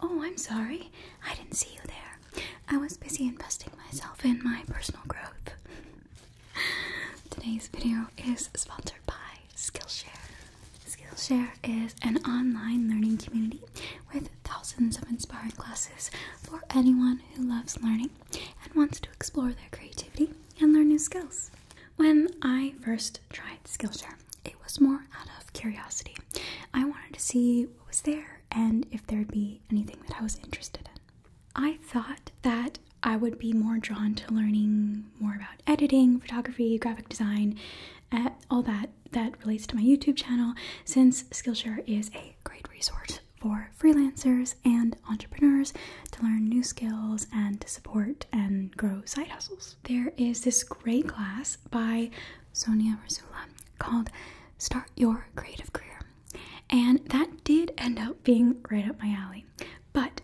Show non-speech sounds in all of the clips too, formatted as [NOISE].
Oh, I'm sorry. I didn't see you there. I was busy investing myself in my personal growth. Today's video is sponsored by Skillshare. Skillshare is an online learning community with thousands of inspiring classes for anyone who loves learning and wants to explore their creativity and learn new skills. When I first tried Skillshare, it was more out of curiosity. I wanted to see what was there and if there'd be anything that I was interested in. I thought that I would be more drawn to learning more about editing, photography, graphic design, eh, all that that relates to my YouTube channel since Skillshare is a great resource for freelancers and entrepreneurs to learn new skills and to support and grow side hustles. There is this great class by Sonia Rasula called Start Your Creative Career. And that did end up being right up my alley. But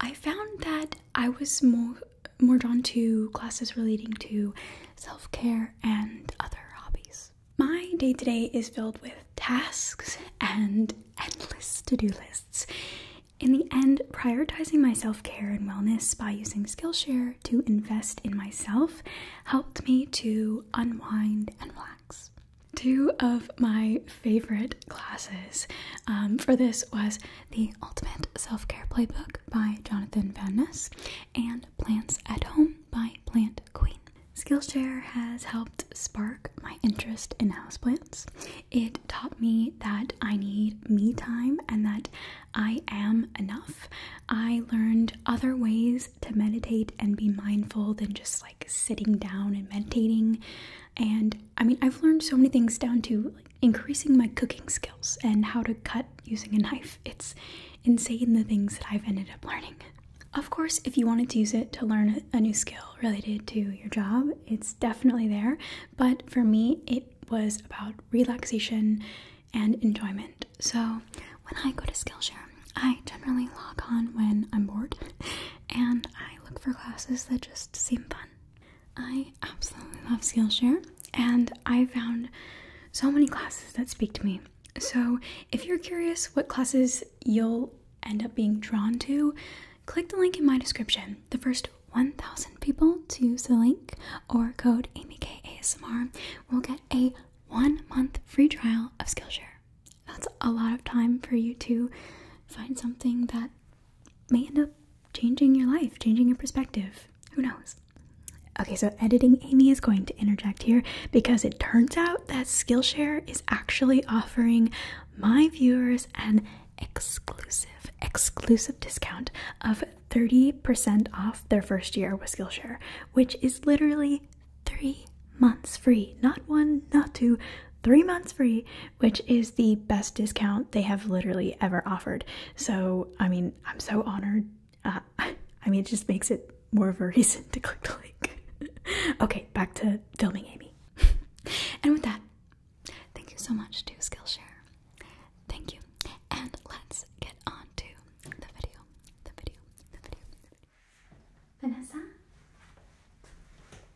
I found that I was more more drawn to classes relating to self-care and other hobbies. My day to -day is filled with tasks and endless to-do lists. In the end, prioritizing my self care and wellness by using Skillshare to invest in myself helped me to unwind and relax. Two of my favorite classes um, for this was the Ultimate Self Care Playbook by Jonathan Van Ness and Plants at Home by Plant Queen. Skillshare has helped spark my interest in houseplants. It taught me that I need me time and that I am enough. I learned other ways to meditate and be mindful than just like sitting down and meditating. And I mean, I've learned so many things down to increasing my cooking skills and how to cut using a knife. It's insane the things that I've ended up learning. Of course, if you wanted to use it to learn a new skill related to your job, it's definitely there. But for me, it was about relaxation and enjoyment. So when I go to Skillshare, I generally log on when I'm bored and I look for classes that just seem fun. I absolutely love Skillshare and I found so many classes that speak to me. So if you're curious what classes you'll end up being drawn to, click the link in my description. The first 1,000 people to use the link or code Amy AmyKASMR will get a one month free trial of Skillshare. That's a lot of time for you to find something that may end up changing your life, changing your perspective. Who knows? Okay, so editing Amy is going to interject here because it turns out that Skillshare is actually offering my viewers an exclusive, exclusive discount of 30% off their first year with Skillshare, which is literally three months free. Not one, not two, three months free, which is the best discount they have literally ever offered. So, I mean, I'm so honored. Uh, [LAUGHS] I mean, it just makes it more of a [LAUGHS] reason to click the link. [LAUGHS] okay, back to filming Amy. and with that, thank you so much to Skillshare Thank you. And let's get on to the video. The video. Vanessa?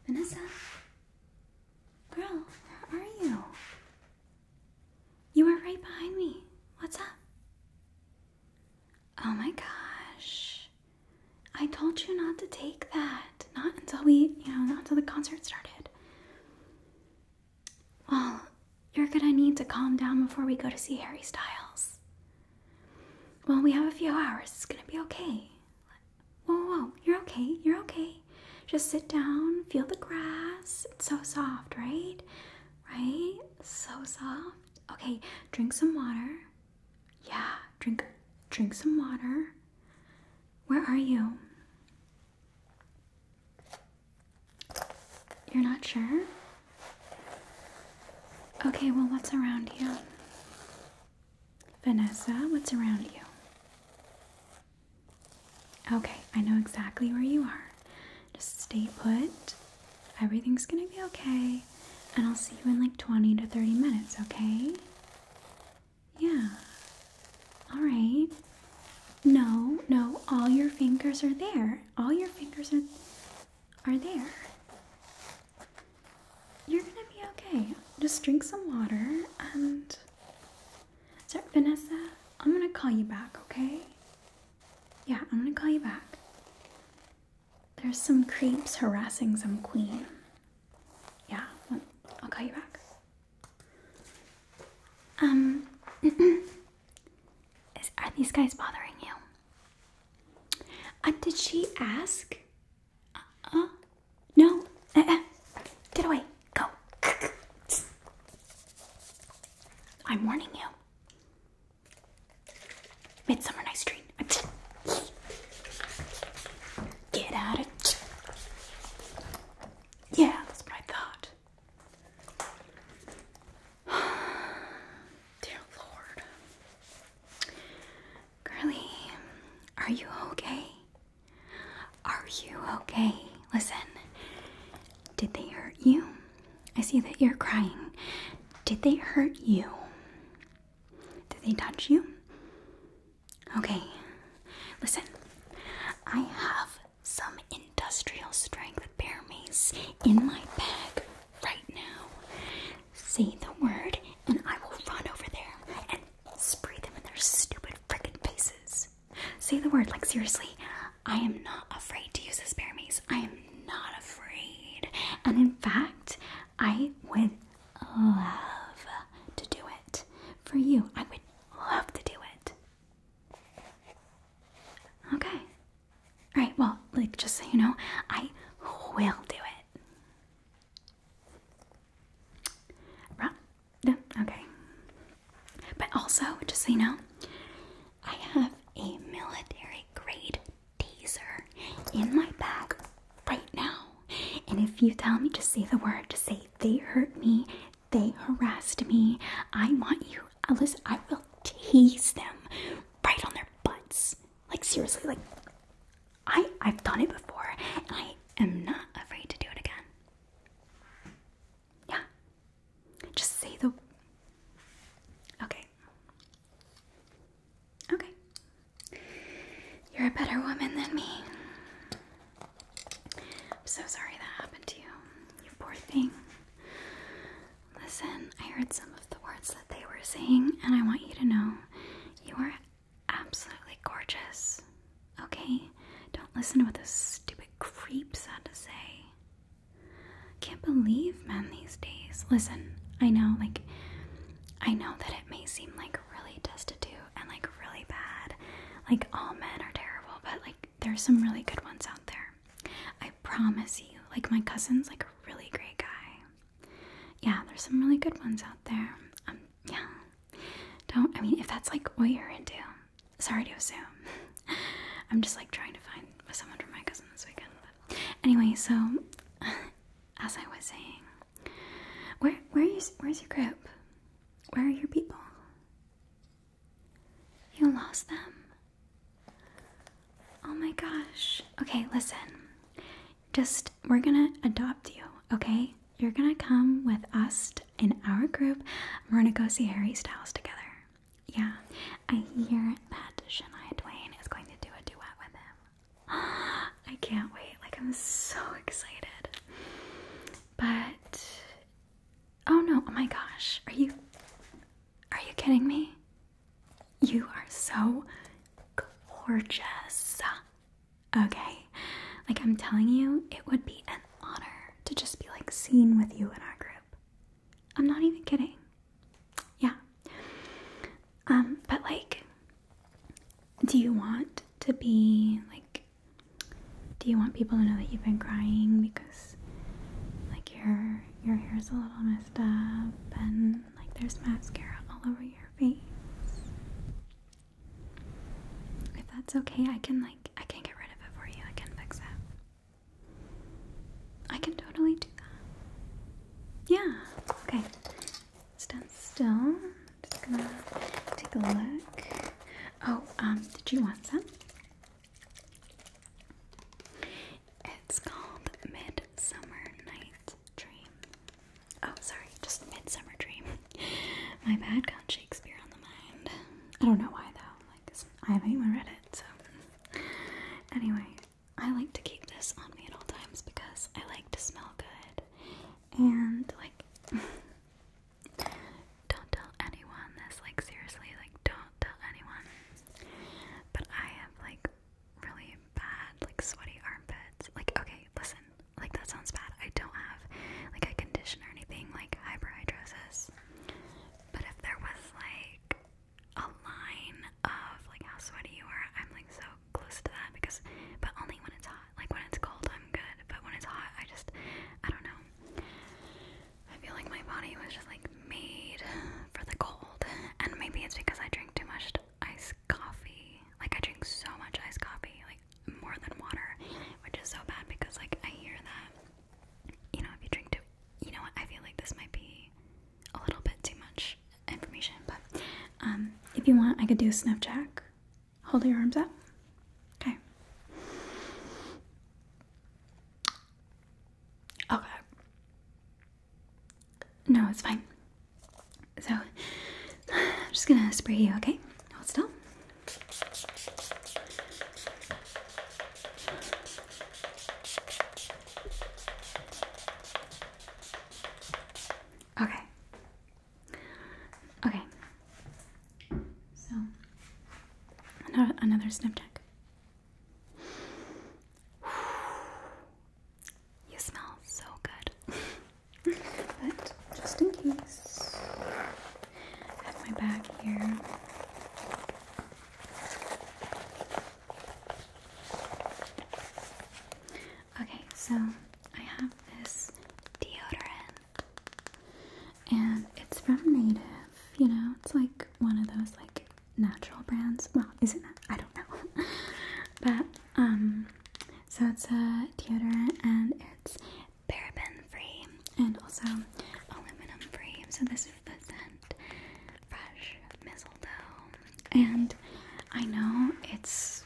Vanessa? Girl, where are you? You are right behind me. What's up? Oh my gosh. I told you not to take that. Not until we, you know, not until the concert started. Well, you're gonna need to calm down before we go to see Harry Styles. Well, we have a few hours. It's gonna be okay. Whoa, whoa, you're okay. You're okay. Just sit down, feel the grass. It's so soft, right? Right? So soft. Okay, drink some water. Yeah, drink drink some water. Where are you? You're not sure? Okay, well, what's around you? Vanessa, what's around you? Okay, I know exactly where you are. Just stay put. Everything's gonna be okay. And I'll see you in like 20 to 30 minutes, okay? Yeah. All right. No, no, all your fingers are there. All your fingers are are there. You're gonna be okay. Just drink some water and Sorry, Vanessa, I'm gonna call you back, okay? Yeah, I'm gonna call you back. There's some creeps harassing some queen. Yeah, I'll call you back. Um [CLEARS THROAT] are these guys bothering you? Uh, did she ask? Uh-uh. no. Uh-uh. Get away. Go. I'm warning you. Midsummer Night's Dream. Get out of. Yeah, that's what I thought. [SIGHS] Dear Lord. Girly, are you okay? Are you okay? Listen, did they hurt you? I see that you're crying. Did they hurt you? Did they touch you? Okay, listen, I have some industrial strength bear mace in my bag right now. Say the word, and I will run over there and spray them in their stupid frickin' faces. Say the word, like seriously, I am not afraid to use this bear mace. I am not afraid. And in fact, I would love to do it. For you, I would love to do it. Okay. All right. Well, like just so you know, I will do it. Right. Okay. But also, just so you know, I have a military grade taser in my bag right now. And if you tell me to say the word, to say they hurt me, they harassed me. I want you, Alice, I will tease them right on their butts. Like, seriously, like, I, I've done it before I am not afraid to do it again. Yeah. Just say the. Okay. Okay. You're a better woman than me. I'm so sorry that happened to you. You poor thing. Listen, I heard some of the words that they were saying, and I want you to know you are absolutely gorgeous. Okay? Don't listen to what those stupid creeps had to say. Can't believe men these days. Listen, I know, like, I know that it may seem like really destitute and like really bad. Like, all men are terrible, but like, there's some really good ones out there. I promise you. Like my cousin's like a really great guy. Yeah, there's some really good ones out there. Um, yeah. Don't I mean if that's like what you're into. Sorry to assume. [LAUGHS] I'm just like trying to find someone for my cousin this weekend. anyway, so [SIGHS] as I was saying, where where is where's your group? Where are your people? You lost them? Oh my gosh. Okay, listen. Just, we're gonna adopt you, okay? You're gonna come with us in our group. We're gonna go see Harry Styles together. Yeah, I hear that Shania Twain is going to do a duet with him. [GASPS] I can't wait. Like, I'm so [LAUGHS] excited. But Oh no, oh my gosh. Are you Are you kidding me? You are so gorgeous. Okay. Like I'm telling you, it would be an honor to just be like seen with you in our group. I'm not even kidding. Yeah. Um, but like do you want to be like do you want people to know that you've been crying because like your your hair's a little messed up and like there's mascara all over your face. If that's okay, I can like I can get rid of it for you. I can fix that. I can totally do that. Yeah. Okay. Stand still. Just gonna take a look. Oh, um, did you want some? It's called Midsummer Night's Dream. Oh, sorry, just Midsummer Dream. [LAUGHS] My bad got Shakespeare on the mind. I don't know why though, like I haven't even read it, so anyway, I like to keep this on me at all times because I like to smell good. And like [LAUGHS] don't tell anyone this, like seriously, like don't tell anyone. But I have like really bad, like sweaty armpits. Like, okay, listen, like that sounds bad. I don't have like a condition or anything like hyperhidrosis. But if there was like a line of like how sweaty you are, I'm like so close to that because, but only when it's hot. Like when it's cold, I'm good. But when it's hot, I just, I don't know. I feel like my body was just like made for the cold, and maybe it's because I drink too much iced coffee. Like I drink so much iced coffee, like more than water, which is so bad because like I hear that you know if you drink too, you know what I feel like this might be a little bit too much information, but um, if you want, I could do a snuff jack. Hold your arms up. Okay. Okay. No, it's fine. So, [SIGHS] I'm just gonna spray you, okay? Hold still. Okay. Okay. So, another, another snip check. You smell so good. but just in case, I have my bag here. Okay, so I have this deodorant, and it's from Native. You know, it's like one of those like natural brands. Well, is it? Not? I don't know. [LAUGHS] but um, so it's a uh, deodorant and it's paraben free and also aluminum free. So this is the scent Fresh Mistletoe, and I know it's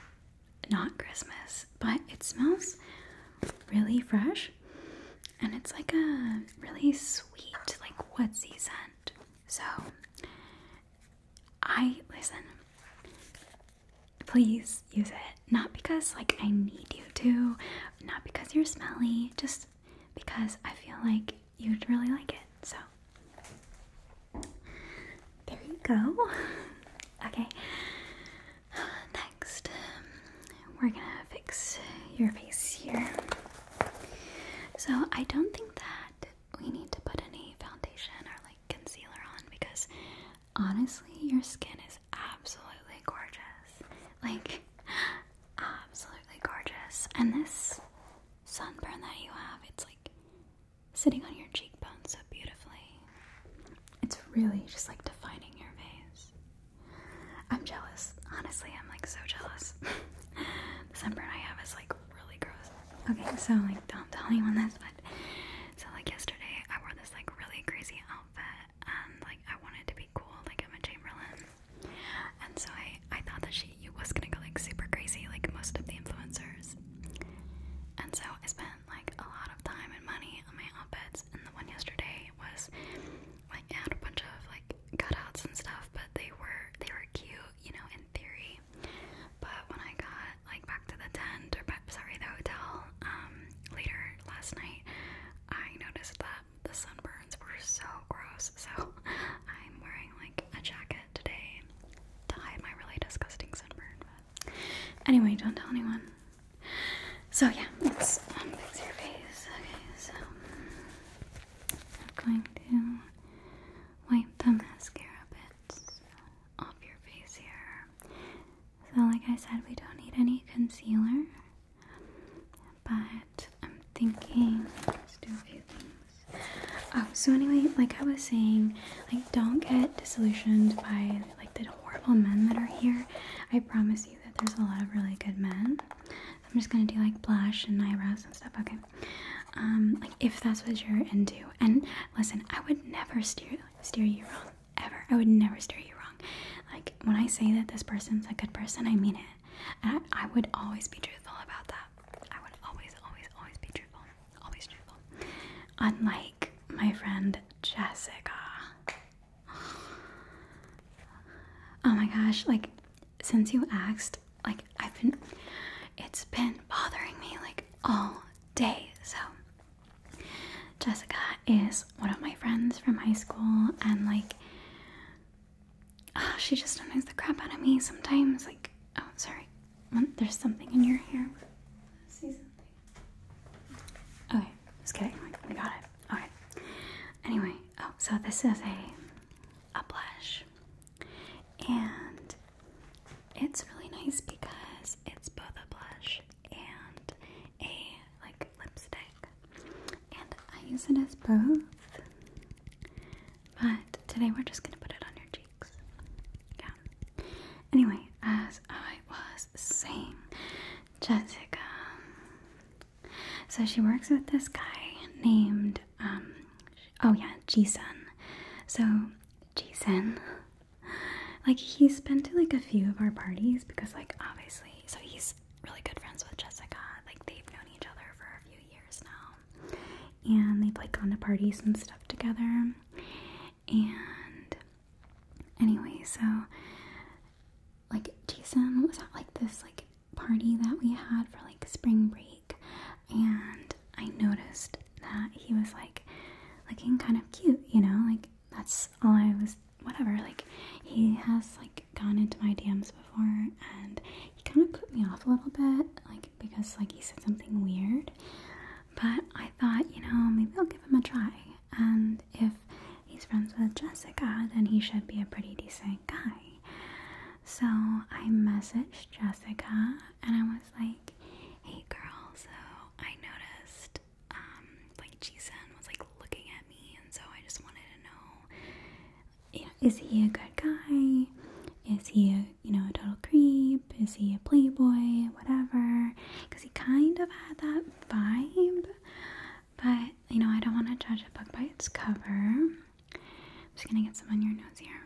not Christmas, but it smells really fresh and it's like a really sweet, like what season? So, I listen. Please use it. Not because like I need you to, not because you're smelly, just because I feel like you'd really like it. So, there you go. [LAUGHS] Okay. Next, we're gonna fix your face here. So I don't think that we need to put any foundation or like concealer on because honestly your skin is absolutely gorgeous. Like absolutely gorgeous. And this sunburn that you have, it's like sitting on your cheekbone so beautifully. It's really just like defining your face. I'm jealous. Honestly, I'm like so jealous. [LAUGHS] the sunburn I have is like really gross. Okay, so like don't tell anyone this, but so like yesterday I wore this like really crazy outfit and like I wanted to be cool, like I'm a Chamberlain. And so I I thought that she was gonna go like super crazy, like most of the influencers. And so I spent like a lot of time and money on my outfits, and the one yesterday was like I had a bunch of like cutouts and stuff, but they were they were cute, you know, in theory. But when I got like back to the tent or sorry, the hotel um, later last night, I noticed that the sunburns were so gross. So [LAUGHS] I'm wearing like a jacket today to hide my really disgusting sunburn. But anyway, don't tell anyone. So yeah, let's fix your face. Okay, so I'm going to wipe the mascara bits off your face here. So, like I said, we don't need any concealer, but I'm thinking let's do a few things. Oh, so anyway, like I was saying, like don't get disillusioned by like the horrible men that are here. I promise you that there's a lot of really good men. I'm just gonna do like blush and eyebrows and stuff. Okay. Um, like if that's what you're into. And listen, I would never steer steer you wrong ever. I would never steer you wrong. Like when I say that this person's a good person, I mean it. And I, I would always be truthful about that. I would always, always, always be truthful. Always truthful. Unlike my friend Jessica. Oh my gosh, like since you asked, like I've been it's been bothering me like all day. So Jessica is one of my friends from high school and like ah, she just annoys the crap out of me sometimes like oh sorry. There's something in your hair. See something. Okay, just kidding. We got it. Alright. Anyway, oh, so this is a a blush and it's really nice because it's both a blush and a like lipstick and I use it as both but today we're just gonna put it on your cheeks yeah anyway as I was saying Jessica so she works with this guy named um, oh yeah, Jason. So Jason, like he's been to like a few of our parties because like obviously, so he's really good friends with Jessica. Like they've known each other for a few years now, and they've like gone to parties and stuff together. And anyway, so like Jason was at like this like party that we had for like spring break and I noticed that he was like looking kind of cute, you know? Like that's all I was whatever. Like he has like gone into my DMs before and he kind of put me off a little bit like because like he said something weird. But I thought, you know, maybe I'll give him a try. And if he's friends with Jessica, then he should be a pretty decent guy. So I messaged Jessica and I was like, hey girl, so I noticed um like Jisun was like looking at me and so I just wanted to know you know, is he a good guy? Is he a you know a total creep? Is he a playboy? Whatever. Because he kind of had that vibe. But you know, I don't want to judge a book by its cover. I'm just gonna get some on your nose here.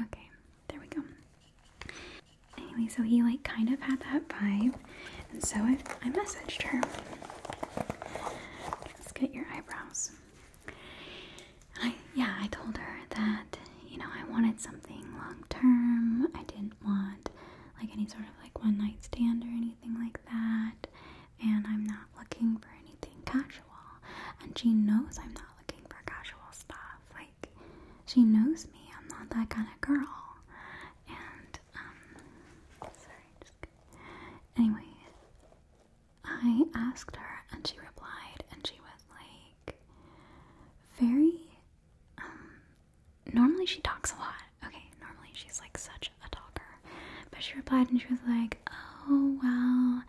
Okay, there we go. Anyway, so he like kind of had that vibe, and so I, I messaged her. Let's get your eyebrows. I yeah, I told her that you know I wanted something long term. I didn't want like any sort of like one night stand or anything like that and I'm not looking for anything casual. And she knows I'm not looking for casual stuff. Like, she knows me. I'm not that kind of girl. And, um, sorry, Anyway, I asked her and she replied, and she was like, very, um, normally she talks a lot. Okay, normally she's like such a talker. But she replied and she was like, oh, well,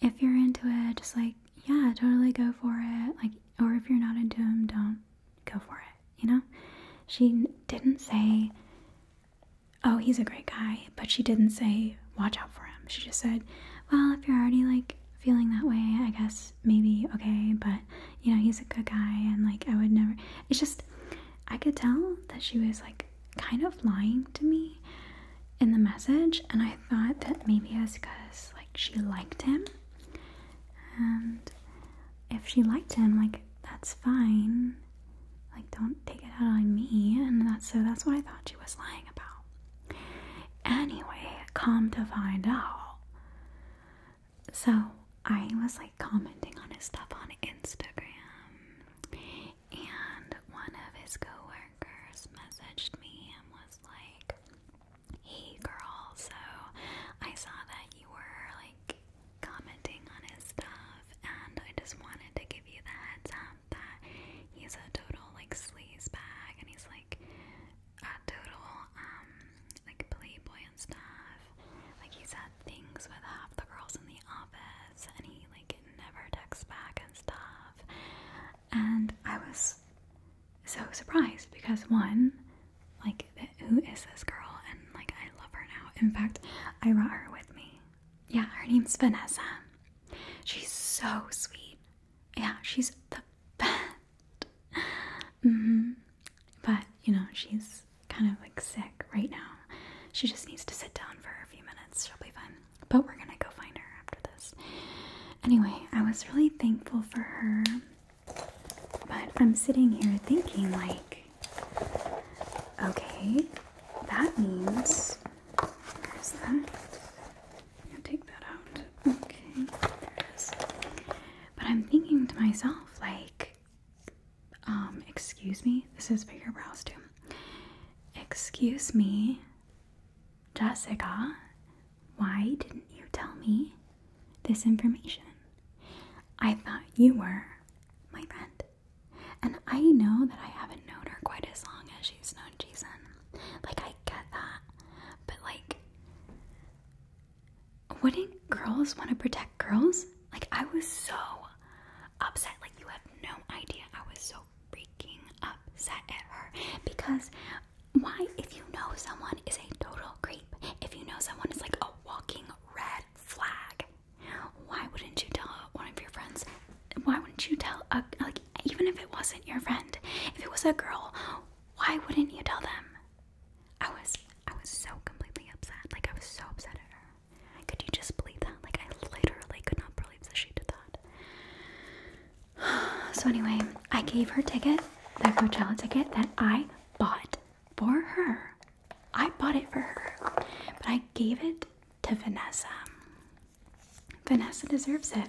if you're into it, just like, yeah, totally go for it. Like, or if you're not into him, don't go for it, you know? She didn't say, oh, he's a great guy, but she didn't say, watch out for him. She just said, well, if you're already like feeling that way, I guess maybe okay, but you know, he's a good guy and like I would never. It's just, I could tell that she was like kind of lying to me in the message, and I thought that maybe it was because like she liked him, and if she liked him, like that's fine. Like don't take it out on me, and that's so that's what I thought she was lying about. Anyway, come to find out, so I was like commenting on his stuff on Instagram, and one of his coworkers messaged me and was like, "Hey, girl, so I saw that you were like commenting on his stuff, and I just wanted to give you the heads up that he's a total like sleaze bag, and he's like a total um like playboy and stuff. Like he's had things with half the girls in the office, and he like never texts back and stuff. And I was so surprised because one, like, who is this girl? And like, I love her now. In fact, I brought her with me. Yeah, her name's Vanessa. She's so sweet. Yeah, she's the best. Mm-hmm. But you know, she's kind of like sick right now. She just needs to sit down for a few minutes. She'll be fine. But we're gonna go find her after this. Anyway, I was really thankful for her. But I'm sitting here thinking, like, okay, that means. Where's that? I'm gonna take that out. Okay, But I'm thinking to myself, like, um, excuse me, this is for your brows too. Excuse me, Jessica, why didn't you tell me this information? I thought you were my friend. And I know that I haven't known her quite as long as she's known Jason. Like, I get that. But, like, wouldn't girls want to protect girls? Like, I was so upset. Like, you have no idea. I was so freaking upset at her because why if you know someone is a total creep, if you know someone is like a walking red flag, why wouldn't you tell one of your friends? Why wouldn't you tell a like even if it wasn't your friend, if it was a girl, why wouldn't you tell them? I was I was so completely upset. Like I was so upset at her. Could you just believe that? Like I literally could not believe believes she did that. [SIGHS] So anyway, I gave her ticket, that Coachella ticket that I bought for her. I bought it for her, but I gave it to Vanessa. Vanessa deserves it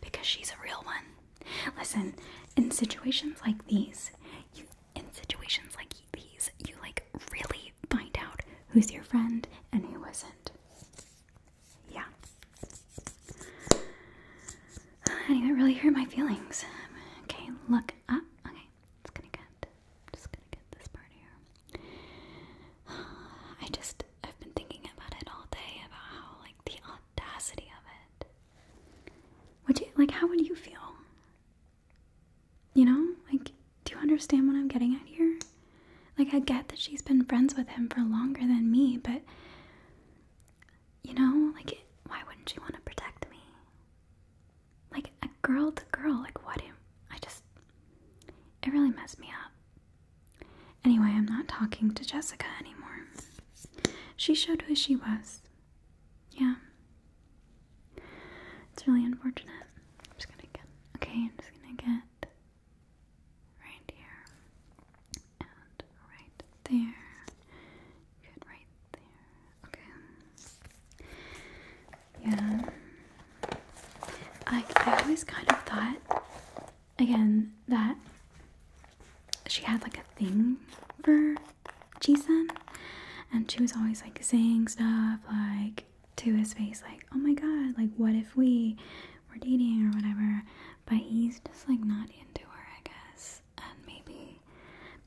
because she's a real one. Listen, in situations like these, you in situations like these, you like really find out who's your friend and who isn't yeah. don't really hurt my feelings. Okay, look up. Okay, it's gonna get. Just gonna get this part here. [SIGHS] I just I've been thinking about it all day about how like the audacity of it. Would you like? How would you feel? You know, like, do you understand what I'm getting at here? Like, I get that she's been friends with him for longer than me, but you know, like, why wouldn't she want to protect me? Like, a girl to girl, like, what? I just, it really messed me up. Anyway, I'm not talking to Jessica anymore. She showed who she was. Yeah. It's really unfortunate. I'm just gonna get, okay, I'm just gonna get right here, and right there, good right there, okay, yeah, I, I always kind of thought, again, that she had like a thing for Jason, and she was always like saying stuff like to his face, like, oh my god, like, what if we we're dating or whatever, but he's just like not into her, I guess. And maybe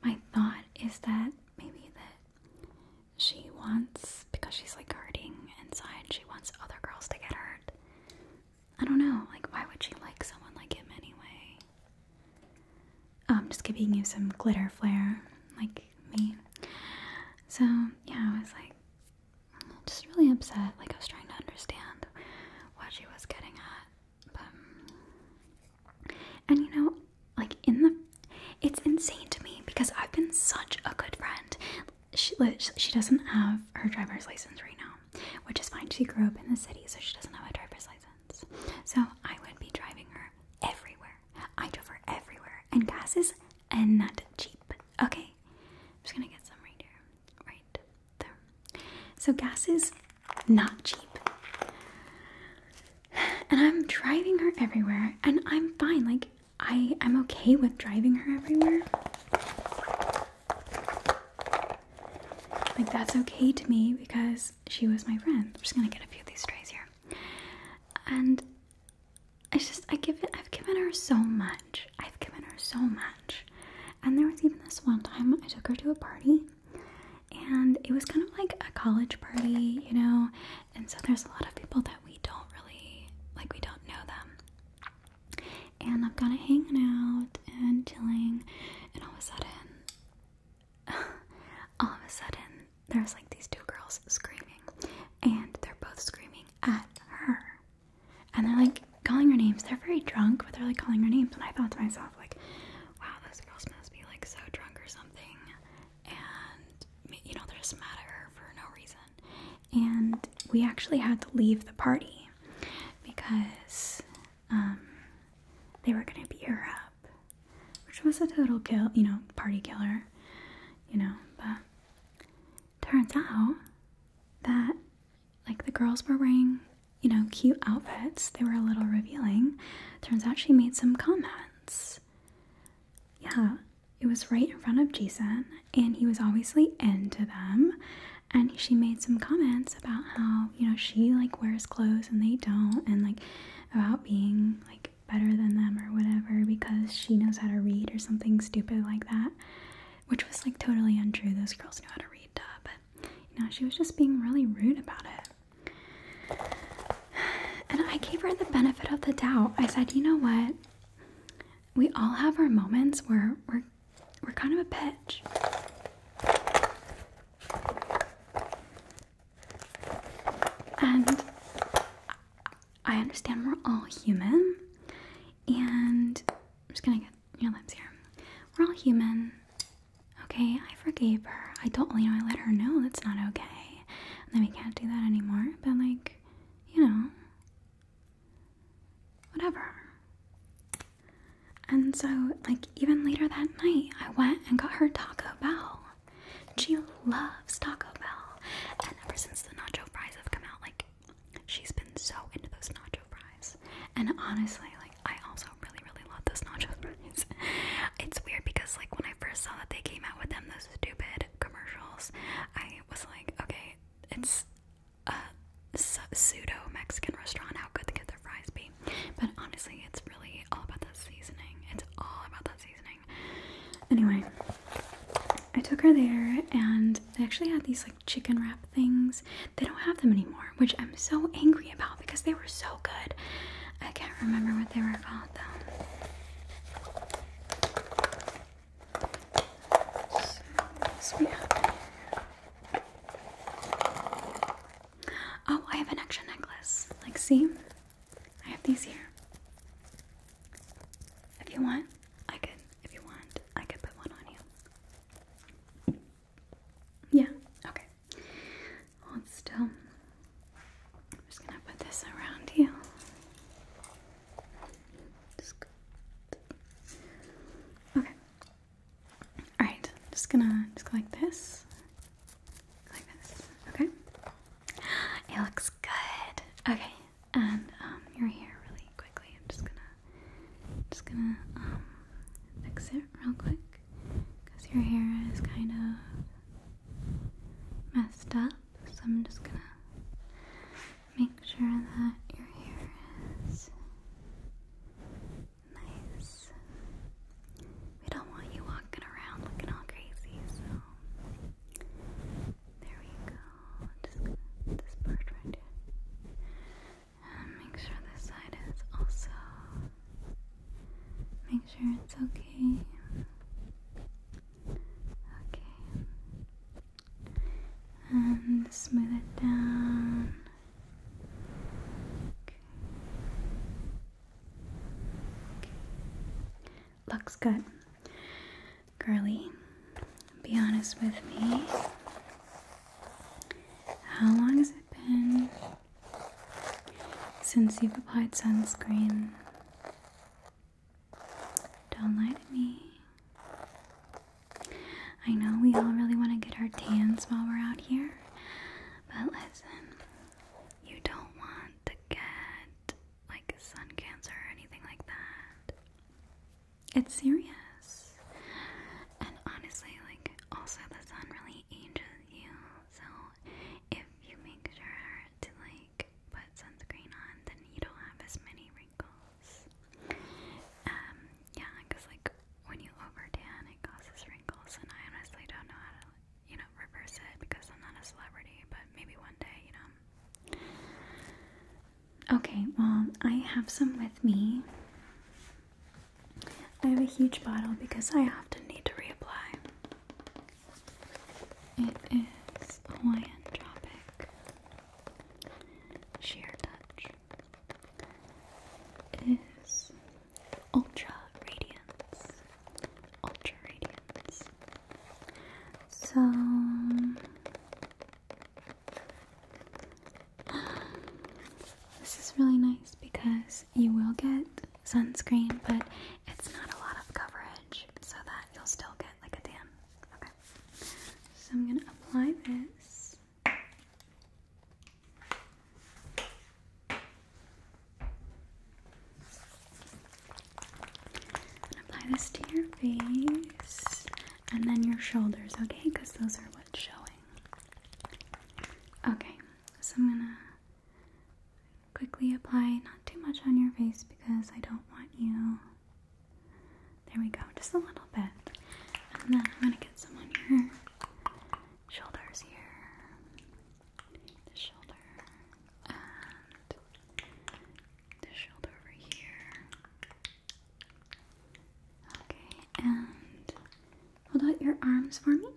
my thought is that maybe that she wants because she's like guarding inside, she wants other girls to get hurt. I don't know, like why would she like someone like him anyway? I'm um, just giving you some glitter flair, like me. So yeah, I was like, just really upset. Like I was trying to understand what she was getting at, but and you know, like in the, it's insane to me because I've been such a good friend. She she doesn't have her driver's license right now, which is fine. She grew up in the city, so she doesn't have a driver's license. So I would be driving her everywhere. I drove her everywhere, and gas is and not cheap. Okay, I'm just gonna get some right here, right there. So, gas is not cheap. And I'm driving her everywhere, and I'm fine. Like, I am okay with driving her everywhere. Like, that's okay to me because she was my friend. I'm just gonna get a few of these strays here. And it's just I give it I've given her so much. I've given her so much. And there was even this one time I took her to a party and it was kind of like a college party, you know. And so there's a lot of people that we don't really like we don't know them. And I'm kind of hanging out and chilling and all of a sudden [LAUGHS] all of a sudden there's like these two girls screaming and they're both screaming at her and they're like calling her names. They're very drunk, but they're like calling her names. And I thought to myself, like, wow, this girl must be like so drunk or something, and you know, they're just mad at her for no reason. And we actually had to leave the party because um, they were gonna beat her up, which was a total kill, you know, party killer, you know, but turns out that like the girls were wearing, you know, cute outfits. They were a little revealing. Turns out she made some comments. Yeah, it was right in front of Jason, and he was obviously into them. And she made some comments about how, you know, she like wears clothes and they don't, and like about being like better than them or whatever because she knows how to read or something stupid like that which was like totally untrue. Those girls knew how to read, duh, but you know, she was just being really rude about it. And I gave her the benefit of the doubt. I said, you know what? We all have our moments where we're we're kind of a bitch. And I understand we're all human. And I'm just gonna get. Your lips here. We're all human. Okay, I forgave her. I don't, you know, I let her know that's not okay. then we can't do that anymore. But, like, you know, whatever. And so, like, even later that night, I went and got her Taco Bell. She loves Taco Bell. And ever since the nacho fries have come out, like, She's been so into those nacho fries. And honestly, like, I also really, really love those nacho [LAUGHS] fries. it's weird because, like, when I first saw that they came out with them, those stupid commercials, I was like, okay, it's a pseudo Mexican restaurant. How good can their fries be? But honestly, it's really all about that seasoning. It's all about that seasoning. Anyway, I took her there and they actually had these, like, chicken wrap things. They don't have them anymore, which I'm so angry about because they were so good. I can't remember what they were about, though. Oh, I have an extra necklace. Like, see? I have these here. If you want, I can, if you want, I can put one on you. Yeah, okay. Hold still. I'm just gonna put this around you. okay. Alright, just gonna just go like this. like this. Okay. It looks good. Okay, and um, your hair really quickly. I'm just gonna just gonna um, fix it real quick because your hair is kind of messed up. So I'm just gonna make sure that your hair is nice. We don't want you walking around looking all crazy, so there we go. Just this part right here. Um, make sure this side is also. Make sure it's okay. Okay. And um, smooth it down. Okay. Looks good. Girly, be honest with me. How long has it been since you've applied sunscreen? Don't lie to me. I know we all really want to get our tans while we're out here, but listen, you don't want to get like sun cancer or anything like that. It's serious. And honestly, like, also the sun really ages you. So if you make sure to, like, put sunscreen on, then you don't have as many wrinkles. Um, yeah, because, like, when you over tan, it causes wrinkles. And I honestly don't know how to, you know, reverse it because I'm not a celebrity, but maybe one day, you know. Okay, well, I have some with me. I have a huge bottle because I often need to reapply. It is Hawaiian Tropic Sheer Touch. It is Ultra Radiance. Ultra Radiance. So this is really nice because you will get sunscreen, but it's not a lot of coverage so that you'll still get like a tan. Okay. So I'm going to apply this. apply this to your face and then your shoulders, okay? Because those are what's showing. Okay, so I'm gonna quickly apply not too much on your face because I don't want you. There we go, just a little bit. And then I'm gonna get some on your shoulders here. The shoulder and the shoulder over here. Okay, and hold out your arms for me.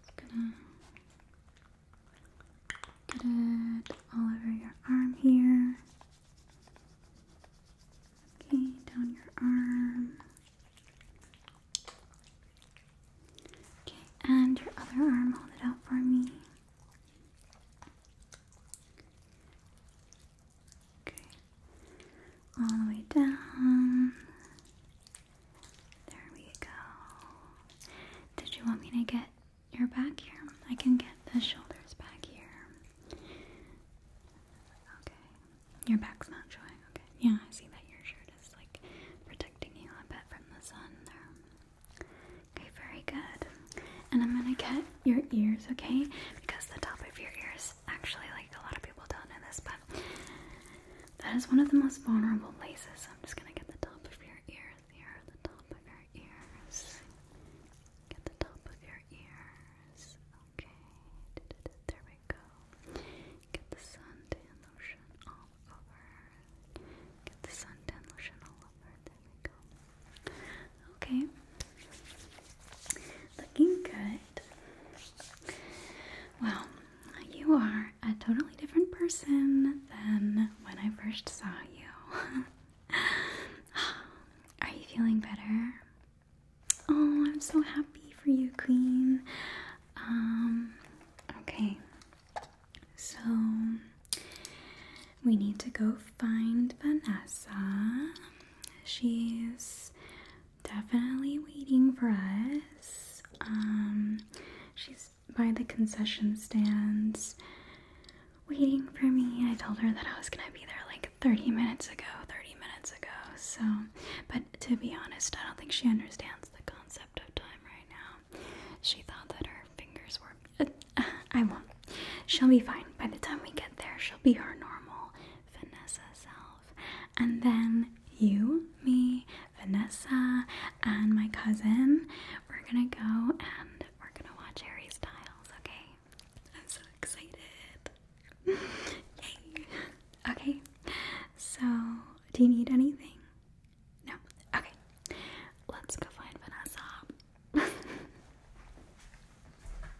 Just gonna get it all over your arm here. Okay, down your arm. Okay, and your other arm, hold it out for me. Okay. All the way down. There we go. Did you want me to get your back here? I can get the shoulders back here. Okay. Your back's not showing. Okay. Yeah, I see that your shirt is like protecting you a bit from the sun there. Okay, very good. And I'm gonna get your ears, okay? Because the top of your ears actually like a lot of people don't know this, but that is one of the most vulnerable places. I'm just gonna get the top of your ears here, the top of your ears. Get the top of your ears. Okay. There we go. Get the suntan lotion all over. Get the suntan lotion all over. There we go. Okay. Looking good. Well, you are a totally different person than when I first saw you. [LAUGHS] are you feeling better? Oh, I'm so happy for you, Queen. Um, okay. So we need to go find Vanessa. She's definitely waiting for us. Um, she's by the concession stands waiting for me. I told her that I was gonna be there like 30 minutes ago, 30 minutes ago. So, but to be honest, I don't think she understands the concept of time right now. She thought that her fingers were. Uh, I won't. She'll be fine. By the time we get there, she'll be her normal Vanessa's self. And then you, me, Vanessa, and my cousin, we're gonna go and we're gonna watch Harry Styles, okay? I'm so excited. Yay! Okay, so do you need anything? No? Okay, let's go find Vanessa. [LAUGHS]